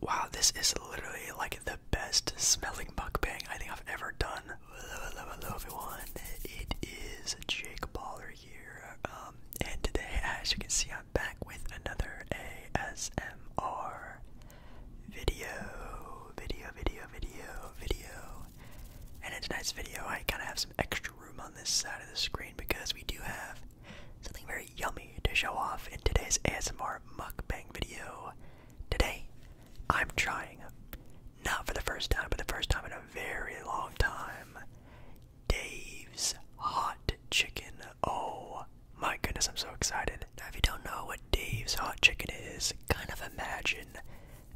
Wow, this is literally like the best smelling mukbang I think I've ever done. Hello, hello hello, everyone. It is Jake Baller here. Um, and today, as you can see, I'm back with another ASMR video, video, video, video, video. And in tonight's video, I kind of have some extra room on this side of the screen because we do have Something very yummy to show off in today's ASMR mukbang video. Today, I'm trying, not for the first time, but the first time in a very long time, Dave's Hot Chicken. Oh my goodness, I'm so excited. Now, if you don't know what Dave's Hot Chicken is, kind of imagine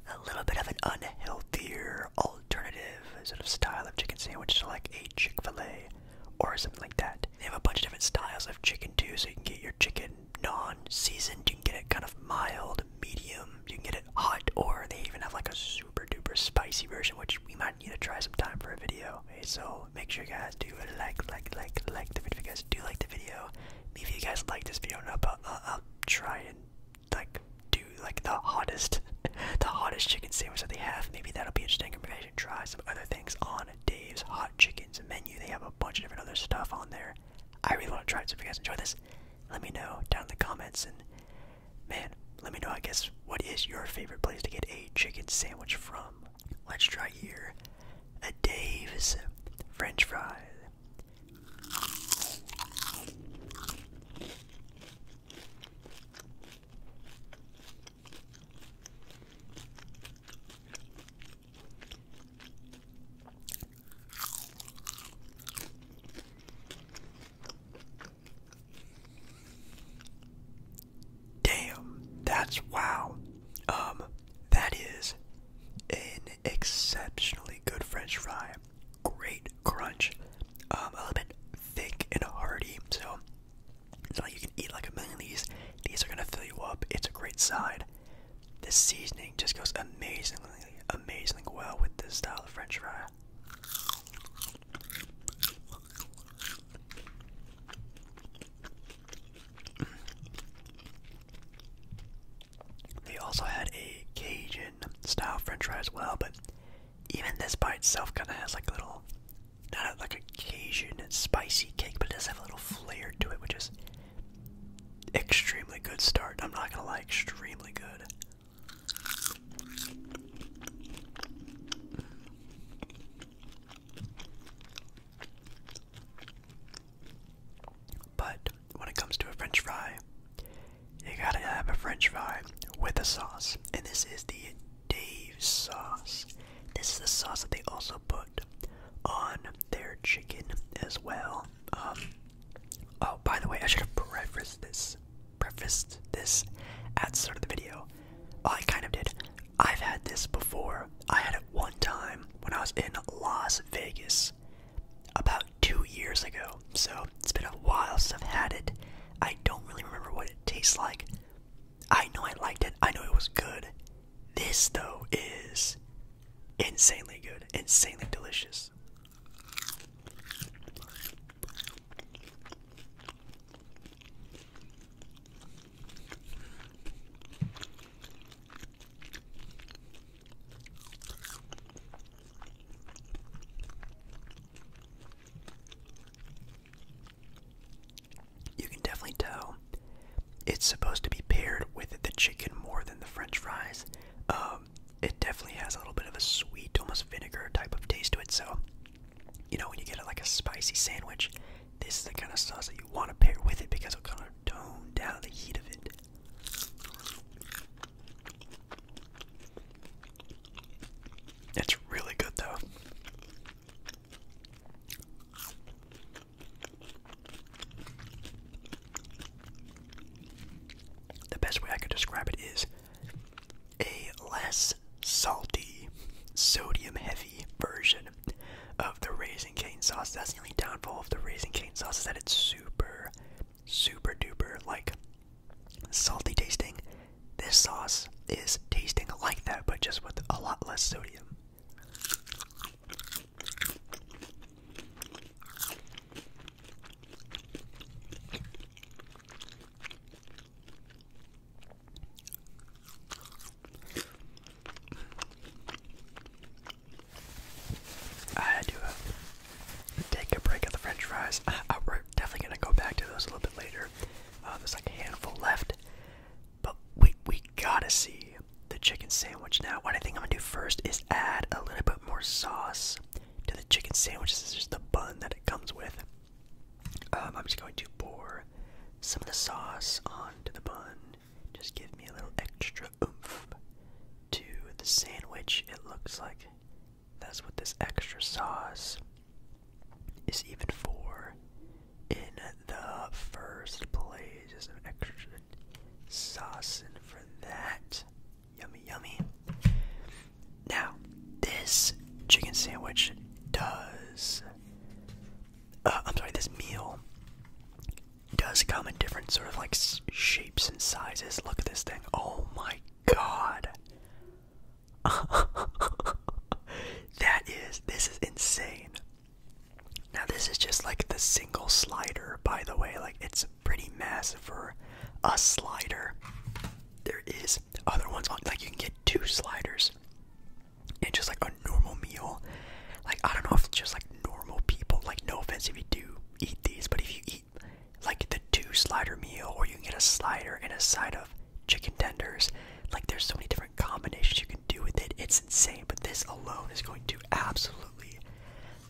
a little bit of an unhealthier alternative sort of style of chicken sandwich to like a Chick fil A or something like that. They have a bunch of different styles of chicken too, so you can get your chicken non-seasoned, you can get it kind of mild, medium, you can get it hot, or they even have like a super duper spicy version, which we might need to try sometime for a video. so make sure you guys do like, like, like, like the video. If you guys do like the video, maybe you guys like this video, No, but uh, I'll, try and like do like the hottest, the hottest chicken sandwich that they have. Maybe that'll be interesting. Or maybe excited try some other things on Dave's Hot Chicken's menu. They have a bunch of different other stuff on there. I really want to try it, so if you guys enjoy this, let me know down in the comments. And man, let me know, I guess, what is your favorite place to get a chicken sandwich from? Let's try here at Dave's French Fry. Damn, that's wow. Um, that is an exceptionally good French fry. Great crunch. Um, a little bit thick and hearty. So it's you can eat like a million of these. These are gonna fill you up. It's a great side. This seasoning just goes amazingly, amazingly well with this style of French fry. They also had a Cajun style French fry as well, but even this by itself kind of has like little not a, like a Cajun spicy cake, but it does have a little flair to it, which is extremely good start. I'm not gonna lie, extremely good. But when it comes to a French fry, you gotta have a French fry with a sauce, and this is the Dave's sauce. This is the sauce that they also put on their chicken as well. Um, oh, by the way, I should have prefaced this. Prefaced this at the start of the video. Well, I kind of did. I've had this before. I had it one time when I was in Las Vegas about two years ago. So it's been a while since I've had it. I don't really remember what it tastes like, I know I liked it. I know it was good. This though is insanely good, insanely delicious. You can definitely tell it's supposed to be paired with the chicken more than the french fries. Um, it definitely has a little bit of a sweet, almost vinegar type of taste to it. So, you know, when you get like a spicy sandwich, this is the kind of sauce that you want to pair with it because it'll kind of tone down the heat of it. It's really good though. The best way I could describe it is a less salty, sodium heavy version of the Raisin Cane sauce. That's the only downfall of the Raisin Cane sauce is that it's super, super duper like salty tasting. This sauce is tasting like that, but just with a lot less sodium. I had to uh, take a break at the french fries. Uh, we're definitely going to go back to those a little bit later. Uh, there's like a handful left. But we we gotta see the chicken sandwich now. What I think I'm gonna do first is add a little bit more sauce to the chicken sandwich. This is just the bun that it comes with. Um, I'm just going to pour some of the sauce onto the bun. Just give me a little extra oomph to the sandwich. It looks like that's what this extra sauce is even for in the first place. Just some extra sauce in for that. Yummy, yummy. Now, this chicken sandwich does. Uh, I'm sorry, this meal does come in different sort of like shapes and sizes. Look at this thing. Oh my god. that is, this is insane. Now this is just like the single slider, by the way. Like it's pretty massive for a slider. There is other ones on like you can get two sliders. And just like a normal meal. Like I don't know if just like normal people, like no offense if you do eat these, but if you eat like the two slider meal or you can get a slider and a side of chicken tenders, like there's so many different combinations you can do with it. It's insane, but this alone is going to absolutely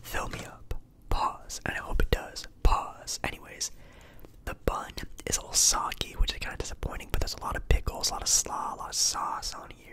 fill me up. Pause, and I hope it does. Pause. Anyways, the bun is a little soggy, which is kind of disappointing, but there's a lot of pickles, a lot of slaw, a lot of sauce on here.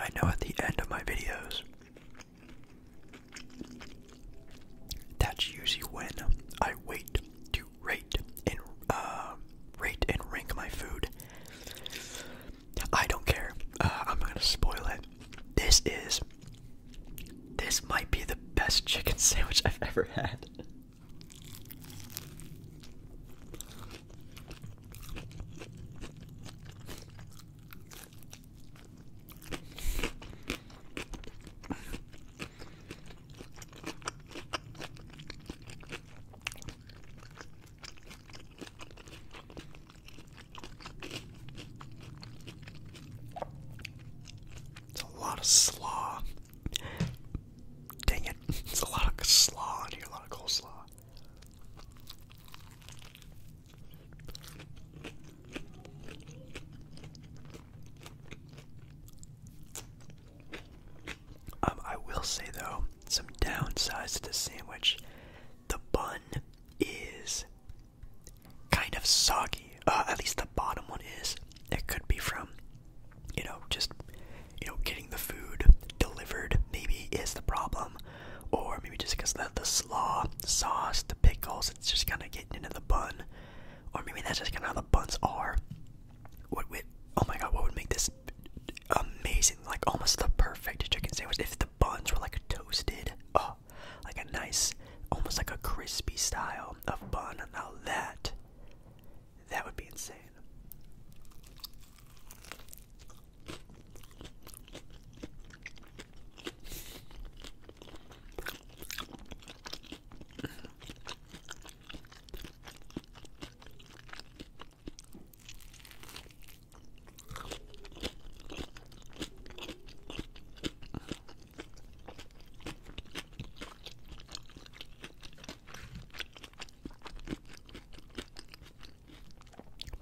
I know at the end of my videos, that's usually when I wait to rate and uh, rate and rank my food I don't care. Uh, I'm gonna spoil it. This is. This might be the best chicken sandwich I've ever had. It's a lot of slaw. Dang it. It's a lot of slaw in here, a lot of coleslaw. Um, I will say though, some downsides to the sandwich. The bun is kind of soggy. Uh, at least the bottom one is. It could be from, you know, just you know, getting the food delivered. Maybe is the problem, or maybe just because the the slaw, the sauce, the pickles, it's just kind of getting into the bun, or maybe that's just kind of how the buns are. What would? Oh my god! What would make this amazing, like almost the perfect chicken sandwich. If the buns were like toasted, oh, like a nice, almost like a crispy style of bun. and all that, that would be insane.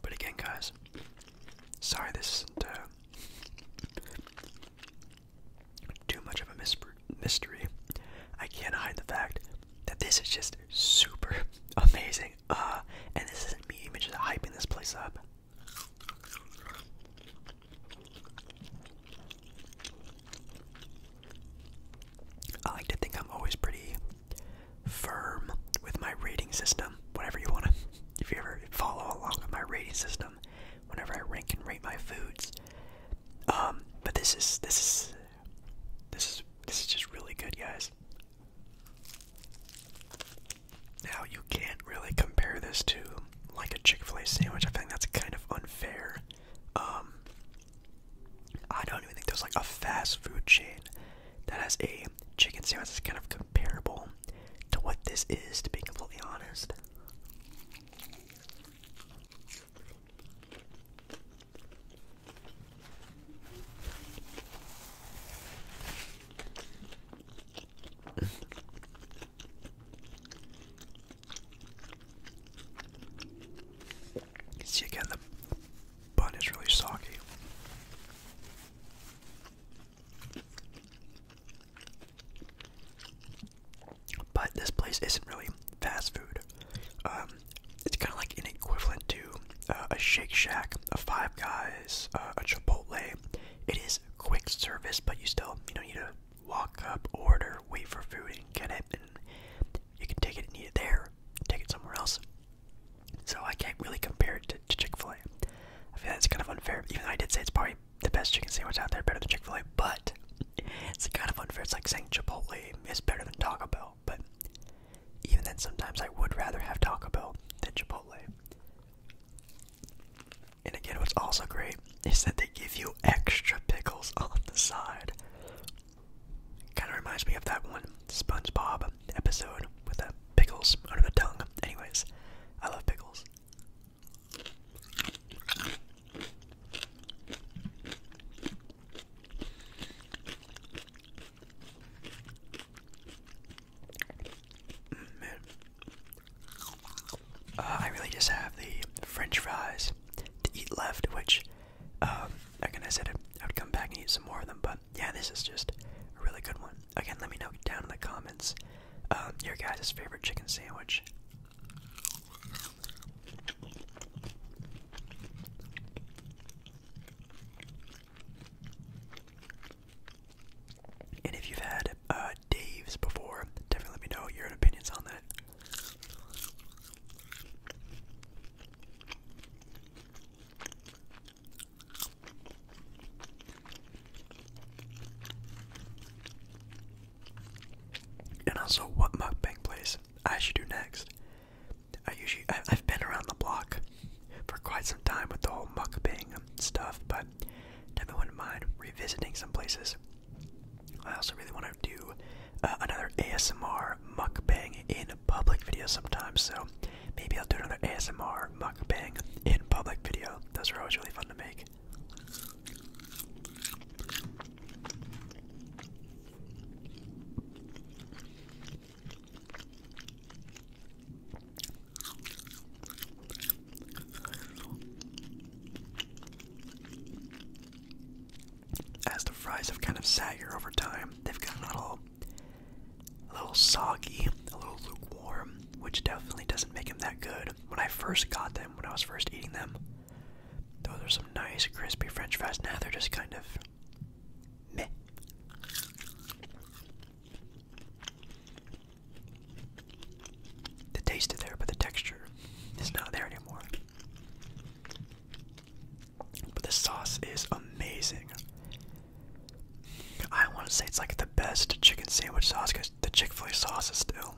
But again, guys, sorry this isn't uh, too much of a mystery. I can't hide the fact that this is just super amazing. Uh, and this isn't me even just hyping this place up. I like to think I'm always pretty firm with my rating system. Whatever you wanna, if you ever follow along with my rating system, whenever I rank and rate my foods. Um, but this is this is this is this is just really good, guys. Now you can't really compare this to like a Chick-fil-A sandwich. I think that's kind of unfair. Um I don't even think there's like a fast food chain that has a chicken sandwich that's kind of comparable to what this is, to be completely honest. See again, the bun is really soggy. But this place isn't really fast food. Um, it's kind of like an equivalent to uh, a Shake Shack, a Five Guys, uh, a Chipotle. It is quick service, but you still you know need to walk up, order, wait for food, and get it. And you can take it and eat it there, take it somewhere else. So I can't really compare it to, to Chick Fil A. I feel that's kind of unfair. Even though I did say it's probably the best chicken sandwich out there, better than Chick Fil A, but it's kind of unfair. It's like saying Chipotle is better than Taco Bell but even then, sometimes I would rather have Taco Bell than Chipotle. And again, what's also great is that they give you extra pickles on the side. Kind of reminds me of that one SpongeBob episode with the pickles under the tongue. Anyways, I love pickles. Uh, I really just have the French fries to eat left, which, um, again, I said I would come back and eat some more of them, but yeah, this is just a really good one. Again, let me know down in the comments um, your guys' favorite chicken sandwich. And if you've had uh, Dave's before, definitely let me know your opinions on that. And also, what mukbang place I should do next. I usually I, have been around the block for quite some time with the whole mukbang stuff, but never wouldn't mind revisiting some places. I also really want to do uh, another ASMR mukbang in public video sometimes, so maybe I'll do another ASMR mukbang in public video. Those are always really fun to make. As the fries have kind of sat here over time, they've gotten a little, a little soggy, a little lukewarm, which definitely doesn't make them that good. When I first got them, when I was first eating them, those are some nice crispy French fries. Now they're just kind of the taste is there, but the texture is not there anymore. But the sauce is amazing. I want to say it's like the best chicken sandwich sauce because the Chick Fil A sauce is still,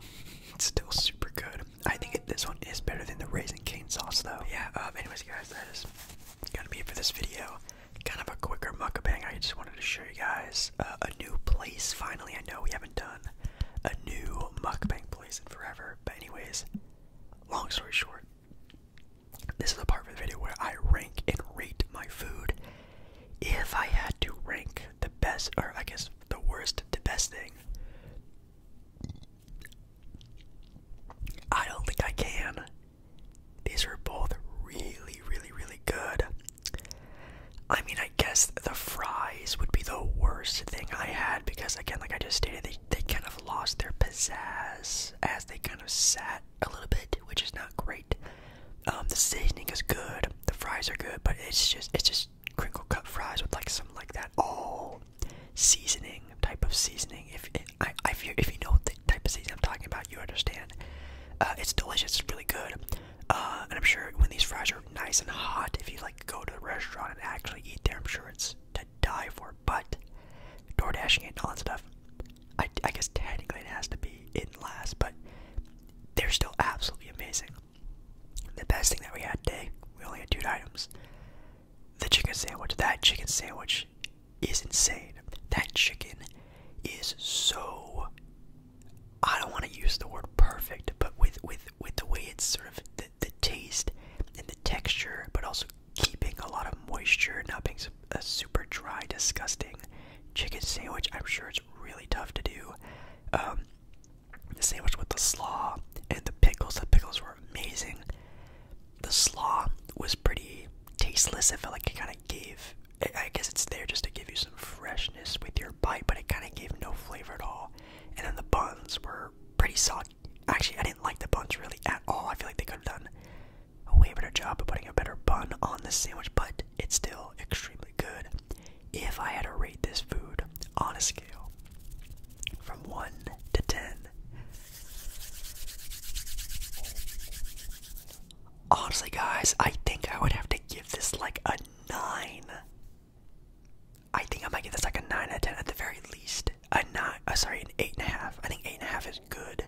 it's still super good. I think this one is better than the raisin cane sauce though. Yeah. Um, anyways, guys, that is gonna be it for this video. Kind of a quicker mukbang. I just wanted to show you guys uh, a new place. Finally, I know we haven't done a new mukbang place in forever. But anyways, long story short, this is the part of the video where I rank and rate my food. If I had to rank the best, or I guess the worst to best thing, I don't think I can. These are both really, really, really good. I mean, I guess the fries would be the worst thing I had because, again, like I just stated, they, they kind of lost their pizzazz as they kind of sat a little bit, which is not great. Um, the seasoning is good, the fries are good, but it's just it's just crinkle cut fries with like some like that all seasoning type of seasoning. If it, I, if you if you know the type of seasoning I'm talking about, you understand. Uh, it's delicious. It's really good. Uh, and I'm sure when these fries are nice and hot, if you like go to the restaurant and actually eat there, I'm sure it's to die for. But door dashing and all that stuff, I guess technically it has to be in last, but they're still absolutely amazing. The best thing that we had today, we only had two items. The chicken sandwich. That chicken sandwich is insane. That chicken is so I don't want to use the word perfect, but with with with the way it's sort of the, the taste and the texture, but also keeping a lot of moisture, not being a super dry, disgusting chicken sandwich. I'm sure it's really tough to do. Um, the sandwich with the slaw and the pickles. The pickles were amazing the slaw was pretty tasteless. I felt like it kind of gave. I guess it's there just to give you some freshness with your bite, but it kind of gave no flavor at all. And then the buns were pretty soggy. Actually, I didn't like the buns really at all. I feel like they could have done a way better job of putting a better bun on the sandwich, but it's still extremely good. If I had to rate this food on a scale from 1 to 10, Honestly, guys, I think I would have to give this like a 9. I think I might give this like a 9 out of 10 at the very least. A 9, uh, sorry, an 8.5. I think 8.5 is good.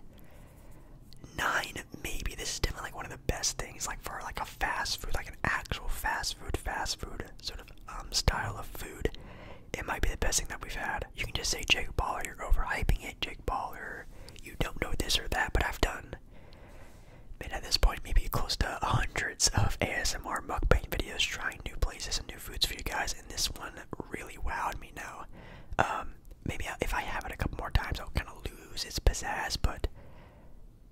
9, maybe. This is definitely like one of the best things, like for like a fast food, like an actual fast food, fast food sort of um, style of food. It might be the best thing that we've had. You can just say Jake Baller, you're overhyping it, Jake Baller, you don't know this or that, but I've done. And at this point, maybe close to hundreds of ASMR mukbang videos trying new places and new foods for you guys, and this one really wowed me now. Um, maybe if I have it a couple more times, I'll kind of lose its pizzazz, but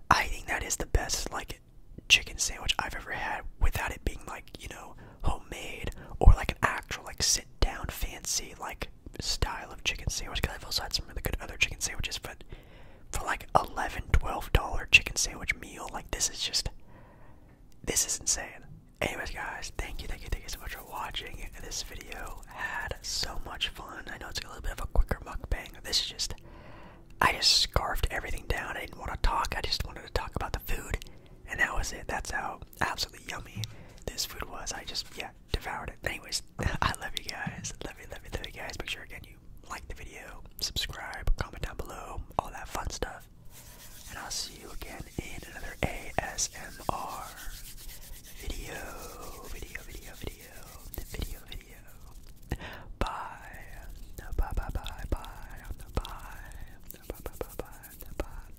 I think that is the best, like, chicken sandwich I've ever had without it being, like, you know, homemade or, like, an actual, like, down fancy like style of chicken sandwich because I've also had some really good other chicken sandwiches, but for like 11 12 dollar chicken sandwich meal, like this is just this is insane. Anyways, guys, thank you, thank you, thank you so much for watching this video. Had so much fun. I know it's a little bit of a quicker mukbang. This is just I just scarfed everything down. I didn't want to talk. I just wanted to talk about the food and that was it. That's how absolutely yummy this food was. I just, yeah, devoured it. Anyways, I love you guys. Love you, love you, love you guys. Make sure again you like the video, subscribe, comment down below, all that fun stuff. And I'll see you again in another ASMR video, video, video, video, video, video. Bye. Bye, bye, bye, bye, bye, bye, bye, bye, bye, bye.